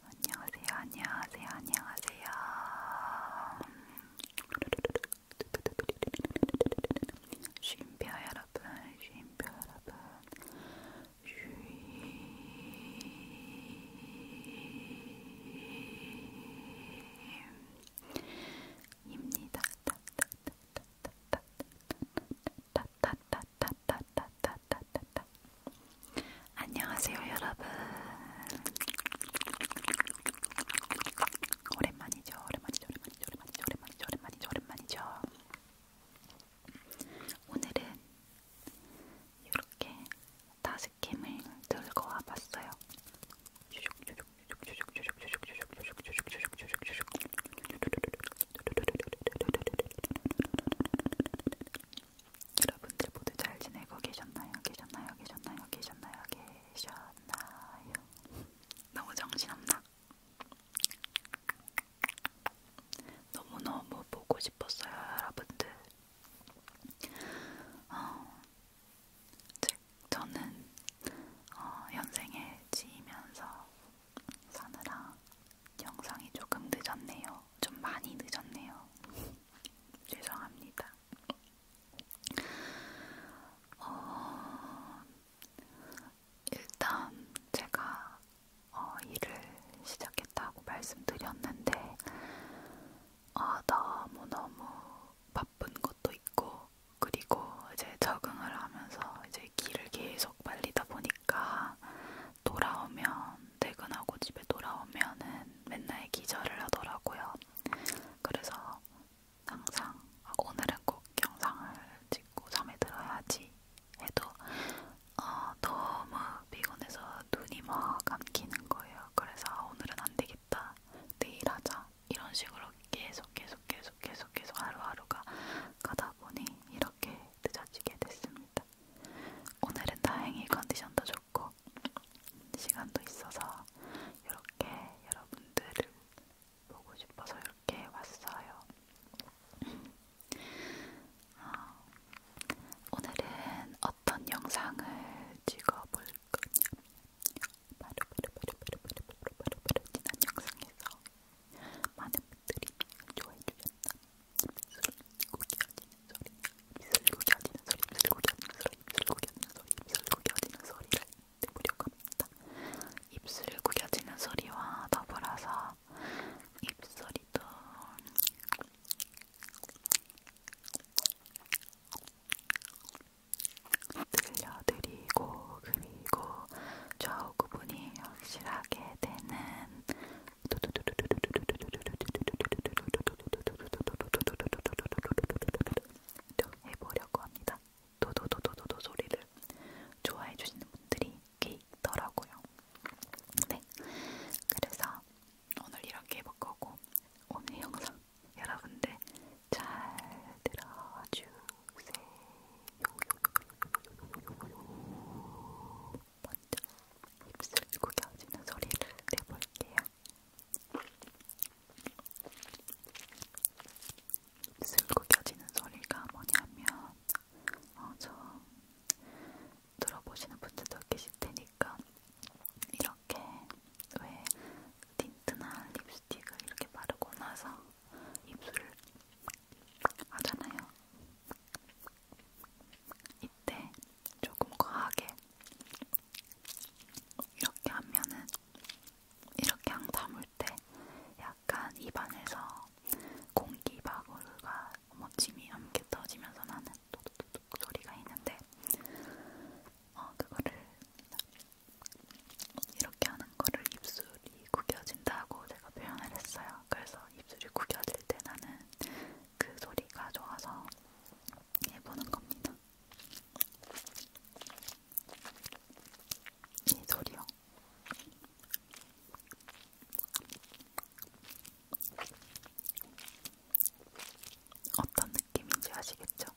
안녕하세요. 안녕하세요. 쉼표 여러분, 쉼표 여러분. 쉼입니다. 따따따따. 안녕하세요, 여러분. 오랜만이죠, 오랜만이죠, 오랜만이죠, 오랜만이죠, 오랜만이죠, 오랜만이죠, 오랜만이죠. 오늘은 이렇게 다섯 캠을 들고 와봤어요. 쭈죽쭈죽 여러분들 모두 잘 지내고 계셨나요? 계셨나요? 계셨나요? 계셨나요? 계셨나요? 너무 정신없나? 너무너무 보고 싶었어요, 여러분들. 어, 즉 저는 어, 현생에 지이면서 사느라 영상이 조금 늦었네요. 좀 많이 늦었네요. 죄송합니다. 어, 일단 제가 어, 일을 시작했다고 말씀드렸는데 아, 너무너무 바쁜 것 것도 있고 그리고 이제 적응을 하면서 이제 길을 계속 빨리다 보니까 돌아오면 퇴근하고 집에 돌아오면은 맨날 기절을 하더라고요. 그래서 항상 오늘은 꼭 영상을 찍고 잠에 들어야지 해도 어, 너무 피곤해서 눈이 막 감기는 거예요. 그래서 오늘은 안 되겠다. 내일 하자. 이런 식으로 계속 계속 계속 계속 계속 하루하루가 가다 보니 이렇게 늦어지게 됐습니다. 오늘은 다행히 컨디션도 좋고 시간도 있어서 이렇게 여러분들을 보고 싶어서 이렇게 왔어요. 어, 오늘은 어떤 영상을 찍어볼까? 있거든요. 바로 바로 바로 바로 바로 바로 바로 바로 지난 영상에서 많은 분들이 좋아해 주셨던 입술 고개어지는 소리, 입술 고개어지는 소리, 입술 고개어지는 소리, 입술 고개어지는 소리, 입술 고개어지는 소리를 내보려고 합니다. 입술 구겨지는 소리와 더불어서 입소리도 들려드리고 그리고 좌우 구분이 확실하게 되는 해보려고 합니다. 도도도도도도 소리를 좋아해 주시는 분들이 꽤 있더라고요. 네, 그래서 오늘 이렇게 해볼 거고 오늘 영상 여러분들 잘 들어와 주세요. 먼저 입술 구겨지는 소리를 내볼게요. 입술 구겨지는 소리가 뭐냐면 어, 저 들어보시는 분들도 계실 테니까 이렇게 왜 틴트나 립스틱을 이렇게 바르고 나서 입술을 하잖아요. 이때 조금 과하게 이렇게 하면은 이렇게 향 담을 때 약간 입안에서 공기 바구르가 멋짐이 함께 터지면서 나는 도둑도둑 소리가 있는데 어, 그거를 이렇게 하는 거를 입술이 구겨진다고 제가 표현을 했어요. 그래서 입술이 구겨질 때 나는 그 소리가 좋아서 해보는 겁니다. 이 소리요. 어떤 느낌인지 아시겠죠?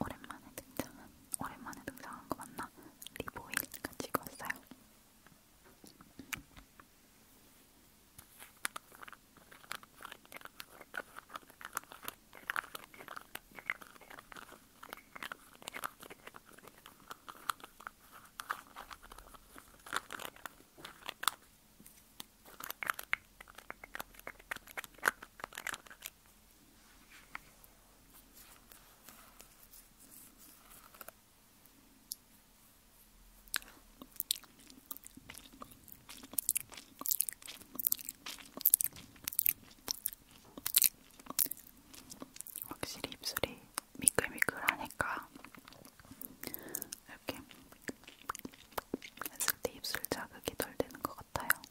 오랜만에 등장한 오랜만에 등장한 거 맞나? 리보일 가지고 왔어요. 확실히 입술이 미끌미끌하니까 이렇게 했을 때 입술 자극이 덜 되는 것 같아요.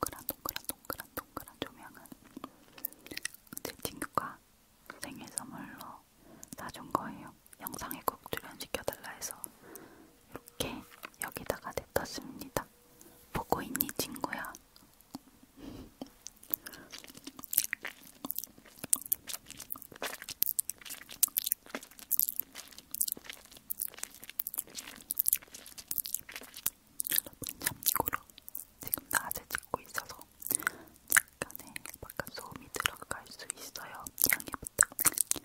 동그란 동그란 동그란 동그란 조명은 제 친구가 생일 선물로 사준 거예요. 영상에 꼭 출연시켜달라 해서 이렇게 여기다가 냅뒀습니다. 보고 있니 친구야? 여러분 참고로 지금 낮에 찍고 있어서 약간의 바깥 소음이 들어갈 수 있어요. 양해 부탁드릴게요.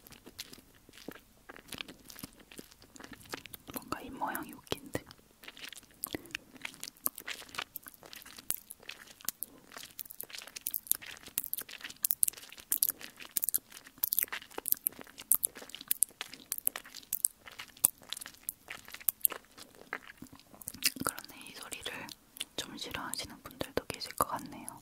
뭔가 입 모양이 웃긴데. 그러네 이 소리를 좀 싫어하시는 분들도 계실 것 같네요.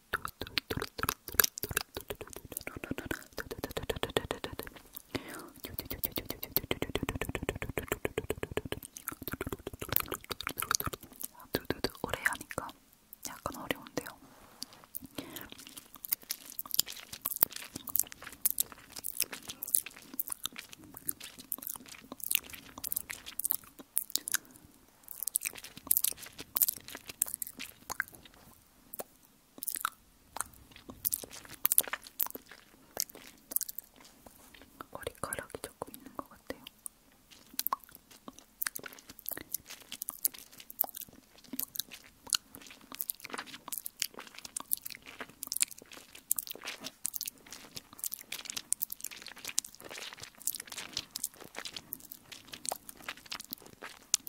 두두두 오래 하니까 약간 어려운데요. 머리카락이 조금 있는 것 같아요.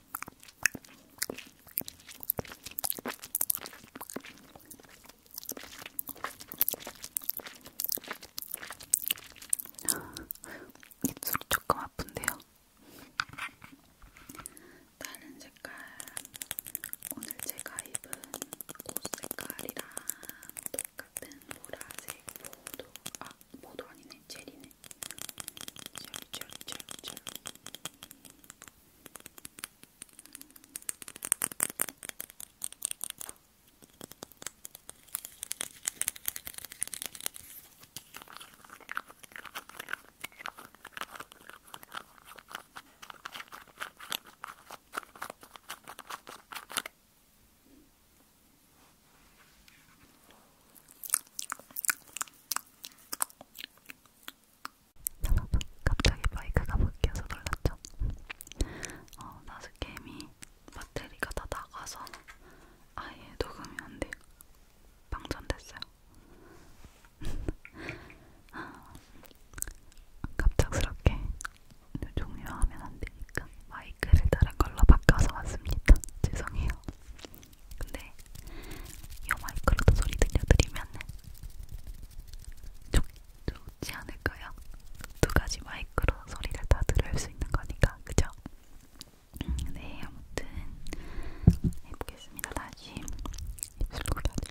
입술이 조금 아픈데요. 다른 색깔 오늘 제가 입은 옷 색깔이랑 똑같은 보라색 보도 아 모도 아니네, 젤이네. 젤, 젤, 젤, 젤. 여러분 갑자기 마이크가 바뀌어서 놀랐죠? 어, 나스캠이 배터리가 다 나가서 아예 녹음이 안 돼요. 방전됐어요. 갑작스럽게 종료하면 안 되니까 마이크를 다른 걸로 바꿔서 왔습니다. 죄송해요. 근데 이 마이크로도 소리 들려드리면 좋, 좋지 않을까요? 두 가지 마이크로 소리를 다 들을 수 있는 거니까, 그죠? 음, 네, 아무튼 해보겠습니다. 다시 입술로 다시.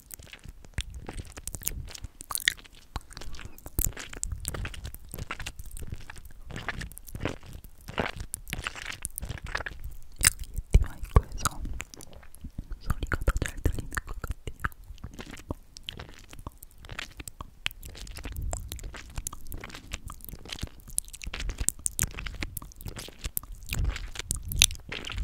여기 마이크에서 소리가 더 잘 들리는 것 같아요. 여러분들은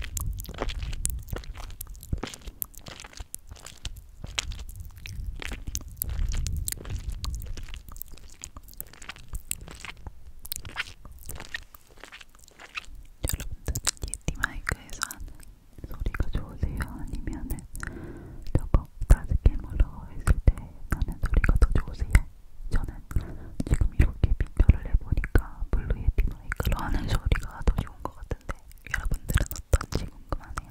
예티 마이크에서 하는 소리가 좋으세요? 아니면은 저거 다스캠으로 했을 때 나는 소리가 더 좋으세요? 저는 지금 이렇게 비교를 해보니까 블루 예티 마이크로 하는 소리가 더 좋은 것 같은데 여러분들은 어떤지 궁금하네요.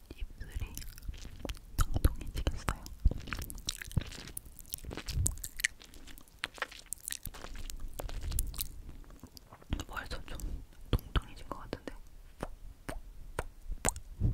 입술이 통통해지겠어요. 벌써 좀 통통해진 것 같은데. 음.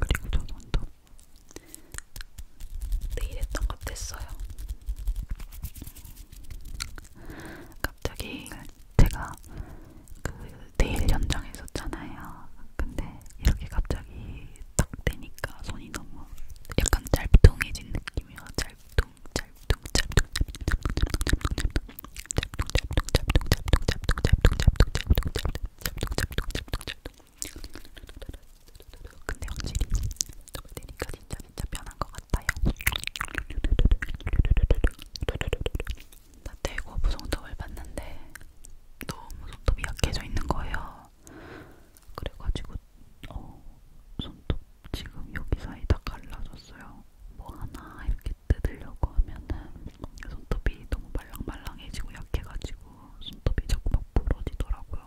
그리고 저는 또 내일 했던 것 됐어요. 갑자기 제가 그 내일 연장했었잖아요. 근데 이렇게 갑자기 딱 되니까 손이 너무 약간 짧뚱해진 느낌이에요. 짧뚱, 짧뚱, 근데 확실히 너무 되니까 진짜 진짜 편한 것 같아요. 나 대고 부성톱을 봤는데 너무 손톱이 약해져 있는 거예요. 그래가지고 어 손톱 지금 여기 사이 다 갈라졌어요. 뭐 하나 이렇게 뜯으려고 하면은 손톱이 너무 말랑말랑해지고 약해가지고 손톱이 자꾸 막 부러지더라고요.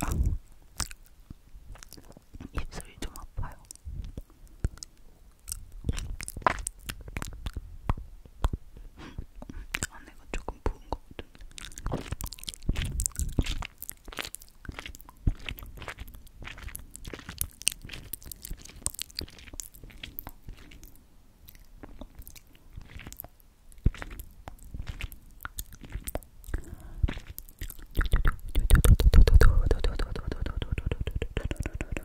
아, 입술이 좀 아파요. 안에가 아, 조금 부은 것 같은데.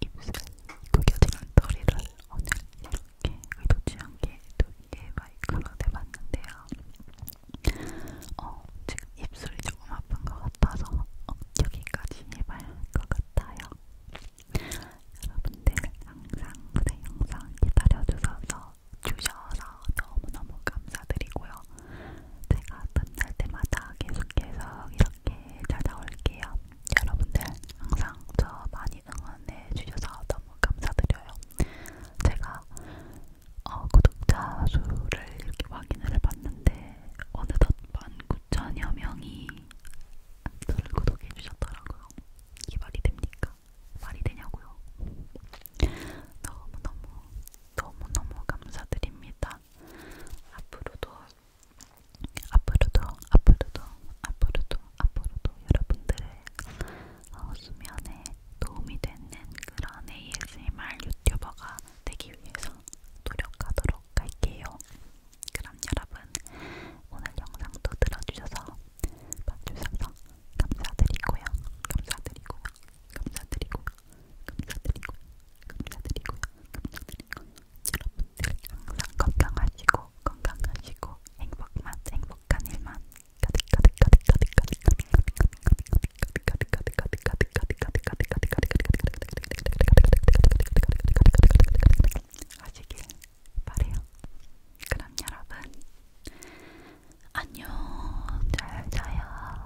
입술 구겨지는 소리를 오늘 이렇게 의도치 않게 또 이게 마이크로 대봤는데요. 어, 지금 입술이 조금 아픈 것 같아서 어, 여기까지 해봐야 할 것 같아요. 여러분들 항상 제 영상 기다려주셔서 주셔서 너무너무 감사드리고요. 제가 끝날 때마다 계속해서 이렇게 편하게 네, 찾아올게요. 여러분들 항상 저 많이 응원해 주셔서 너무 감사드려요. 제가 어, 구독자 수를 이렇게 확인을 해봤는데 어느덧 19,000여 명이 저를 구독해 주셨더라고요. 이게 말이 됩니까? 말이 되냐고요? 너무너무 너무너무 감사드립니다. 앞으로도 앞으로도 앞으로도 앞으로도 앞으로도 여러분들의 어, 수면에 도움이 되는 그런 ASMR 유튜버가 되기 위해서 노력하도록 할게요. 그럼 여러분 오늘 영상도 들어주셔서 봐주셔서 감사드리고요. 감사드리고요. 감사드리고요. 감사드리고요. 감사드리고요. 감사드리고요. 여러분 분들 항상 건강하시고 건강하시고 행복만 행복한 일만 가득 가득 가득 가득 가득 가득 가득 가득 가득 가득 가득 가득 가득 가득 가득 가득 하시길 바래요. 그럼 여러분 안녕 잘 자요.